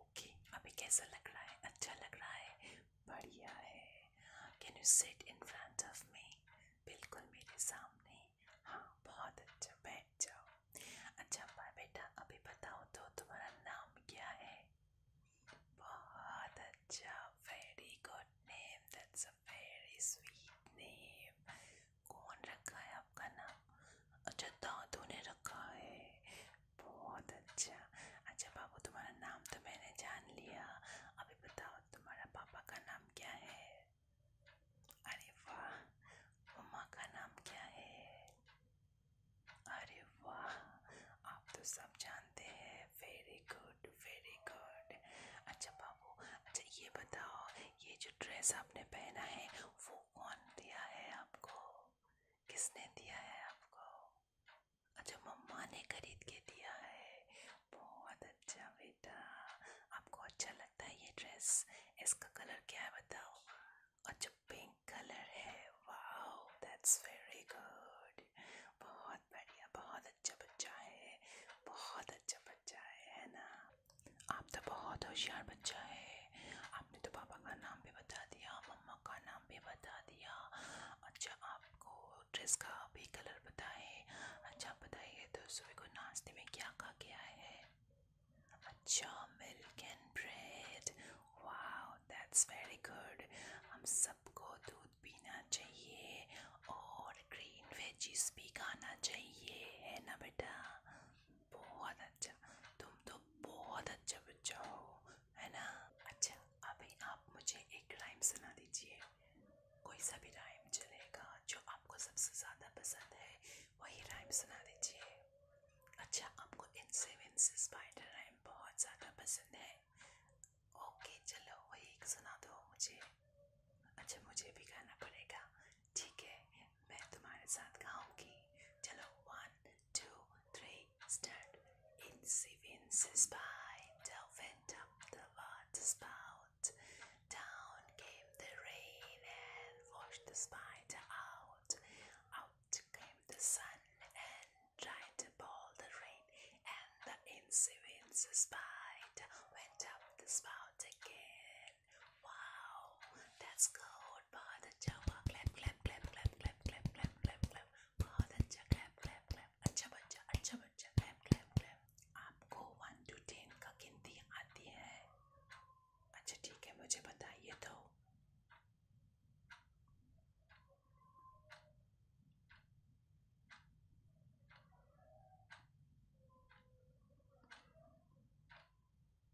Okay अभी कैसा लग रहा है अच्छा लग रहा है बढ़िया है can you sit in front of me बिल्कुल मेरे सामने हाँ बहुत अच्छा बैठ जाओ अच्छा बाय बेटा अभी बताओ तो तुम्हारा नाम क्या है बहुत अच्छा very good name that's a very sweet name कौन रखा है आपका नाम अच्छा दादू ने रखा है बहुत अच्छा अच्छा बाबू तुम्हारा नाम तो मैंने जान लिया अभी बताओ तुम्हारा पापा का नाम क्या है अरे वाह मम्मा का नाम क्या है अरे वाह आप तो सब जानते हैं वेरी गुड वेरी गुड अच्छा बाबू अच्छा ये बताओ ये जो ड्रेस आपने पहना है वो कौन दिया है आपको किसने दिया है आपको अच्छा मम्मा ने खरीद के दिया है बहुत अच्छा बेटा आपको अच्छा लगता है ये ड्रेस इसका कलर क्या है बताओ अच्छा पिंक कलर है वाओ दैट्स वेरी गुड बहुत बढ़िया बहुत अच्छा बच्चा है बहुत अच्छा बच्चा है है ना आप तो बहुत होशियार बच्चा है है आपने तो पापा का नाम भी बता दिया मम्मा का नाम भी बता दिया अच्छा आपको ड्रेस का भी कलर बताएं अच्छा बताइए तो सुबह को नाश्ते में क्या खा के आए हैं अच्छा milk and bread wow that's very good हम सबको दूध पीना चाहिए और ग्रीन वेजीज भी खाना चाहिए है ना बेटा बहुत अच्छा तुम तो बहुत अच्छा बच्चा हो है ना अच्छा अभी आप मुझे एक राइम सुना दीजिए कोई सा भी राइम चलेगा जो आपको सबसे ज़्यादा पसंद है वही राइम सुना दीजिए अच्छा आपको इनसे विनसे स्पाइडर राइम बहुत ज़्यादा पसंद है ओके चलो वही एक सुना दो मुझे अच्छा मुझे भी गाना पड़ेगा ठीक है मैं तुम्हारे साथ गाऊंगी चलो one two three stand in Seven's spine, went up the water spout. Down came the rain and washed the spider out. Out came the sun and tried to boil the rain, and the insidious spider went up the spout again. Wow, That's good. बहुत अच्छा हुआ clap clap clap clap clap clap clap clap clap बहुत अच्छा clap clap clap अच्छा बच्चा अच्छा बच्चा clap clap clap आपको वन टू टेन का गिनती आती है अच्छा ठीक है मुझे बताइए तो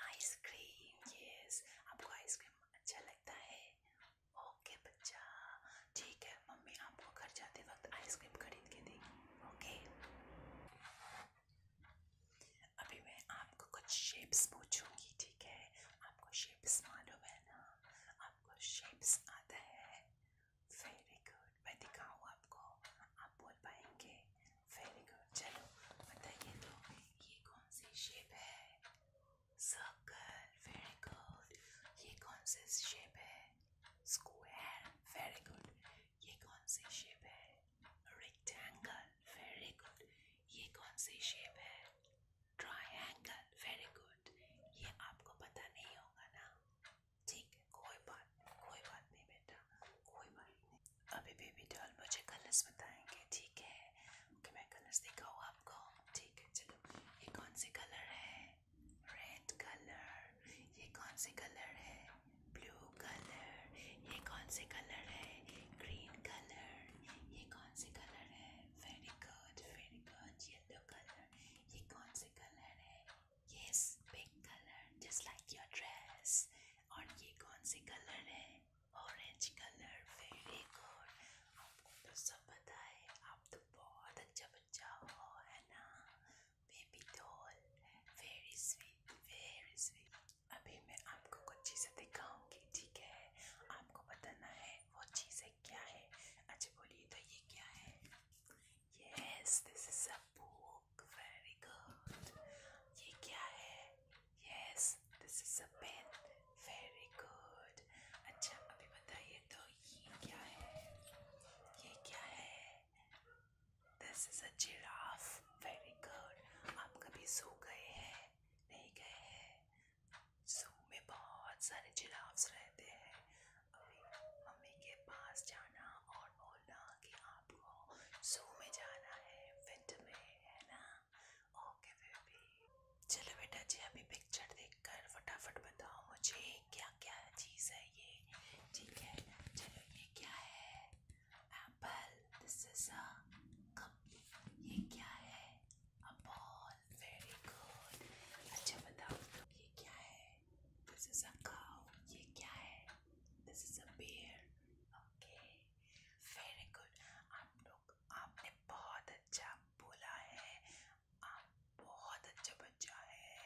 आइस क्रीम यस आपको आइसक्रीम अच्छा लगता है ओके बच्चा ठीक है मम्मी आपको घर जाते वक्त आइसक्रीम खरीद के देगी ओके अभी मैं आपको कुछ शेप्स पूछूंगी ठीक है आपको शेप्स मालूम है ना आपको शेप्स आता है वेरी गुड मैं दिखाऊँ आपको आप बोल पाएंगे वेरी गुड चलो बताइए तो ये कौन सी शेप है सर्कल वेरी गुड ये कौन सी शेप है स्क्वायर वेरी गुड ये कौन सी शेप है रेक्टेंगल वेरी गुड ये कौन सी शेप है ट्रायंगल वेरी गुड ये आपको पता नहीं होगा ना ठीक है कोई बात नहीं कोई बात नहीं बेटा कोई बात नहीं अभी बेबी डॉल मुझे कलर्स बताएंगे ठीक है ओके मैं कलर्स दिखाऊँ आपको ठीक है चलो ये कौन से कलर है रेड कलर ये कौन से कलर है ब्लू कलर ये कौन से कलर है ग्रीन कलर ये कौन से कलर है very good very good yellow colour ये कौन से कलर है yes pink colour just like your dress और ये कौन से कलर है ऑरेंज कलर वेरी गुड आपको तो सब पता है आप तो बहुत अच्छा बच्चा हो है ना baby doll very sweet very sweet अभी मैं आपको कुछ चीज़ें दिखाऊंगी ठीक है आपको बताना है वो चीज़ें क्या है अच्छा बोलिए तो ये क्या है yes this is a book very good ये क्या है yes this is a pen very good अच्छा अभी बताइए तो ये क्या है ये क्या है this is a giraffe very good आप कभी सो गए हैं नहीं गए हैं सो में बहुत सारे जिराफ्स रहते हैं अभी मम्मी के पास जाना और बोलना कि आपको सो में जाना है विंटर में है ना ओके oh, बेबी चलो बेटा जी अभी पिक्चर देखकर फटाफट बताओ मुझे क्या क्या चीज़ है ये ठीक है चलो ये क्या है apple this is a cup ये क्या है अ बॉल वेरी गुड अच्छा बताओ तो ये क्या है दिस इज अ काउ ये क्या है this is a bear okay very good आप लोग आपने बहुत अच्छा बोला है आप बहुत अच्छा बच्चा है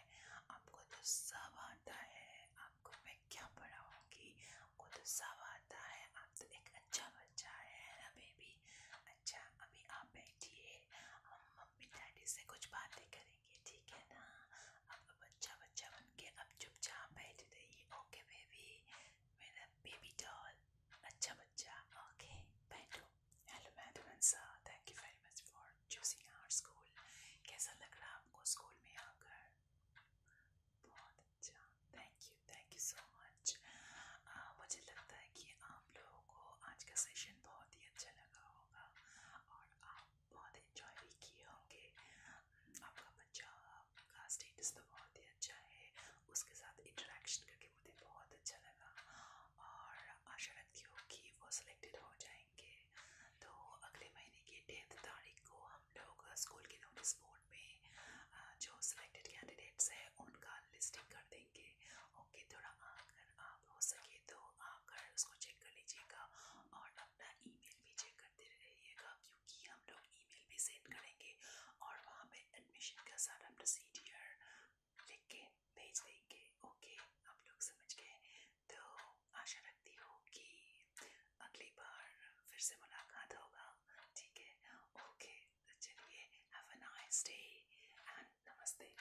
आपको तो सब आता है आपको मैं क्या पढ़ाऊँगी आपको तो सब आता है आप तो एक अच्छा बच्चा है ना बेबी अच्छा अभी आप बैठिए हम मम्मी डैडी से कुछ बातें करेंगे ठीक है ना अब बच्चा बच्चा बन के अब चुपचाप बैठ रही ओके बेबी मेरा बेबी डॉल अच्छा बच्चा ओके बैठो hello madam Ansa thank you very much for choosing our school कैसा लग रहा आपको स्कूल में आकर बहुत अच्छा thank you thank you so much मुझे लगता है कि आप लोगों को आज का सेशन बहुत ही अच्छा लगा होगा और आप बहुत इन्जॉय भी किए होंगे आपका बच्चा उनका स्टेटस तो बहुत ही अच्छा है उसके साथ इंटरेक्शन करके मुझे बहुत अच्छा लगा और आशा रखती हूँ कि वो सिलेक्टेड हो जाएंगे तो अगले महीने की टेंथ तारीख को हम लोग स्कूल के नोटिस बोर्ड में जो सिलेक्टेड कैंडिडेट्स हैं उनका लिस्टिंग कर देंगे ओके थोड़ा अगर आप हो सके तो आकर उसको चेक कर लीजिएगा और अपना ईमेल भी चेक करते रहिएगा क्योंकि हम लोग ईमेल भी सेंड करेंगे और वहाँ पे एडमिशन का सारा प्रोसीडियर लिख के भेज देंगे ओके आप लोग समझ गए तो आशा रखती हूँ कि अगली बार फिर से मुलाकात होगा ठीक है ओके तो चलिए have a nice day and नमस्ते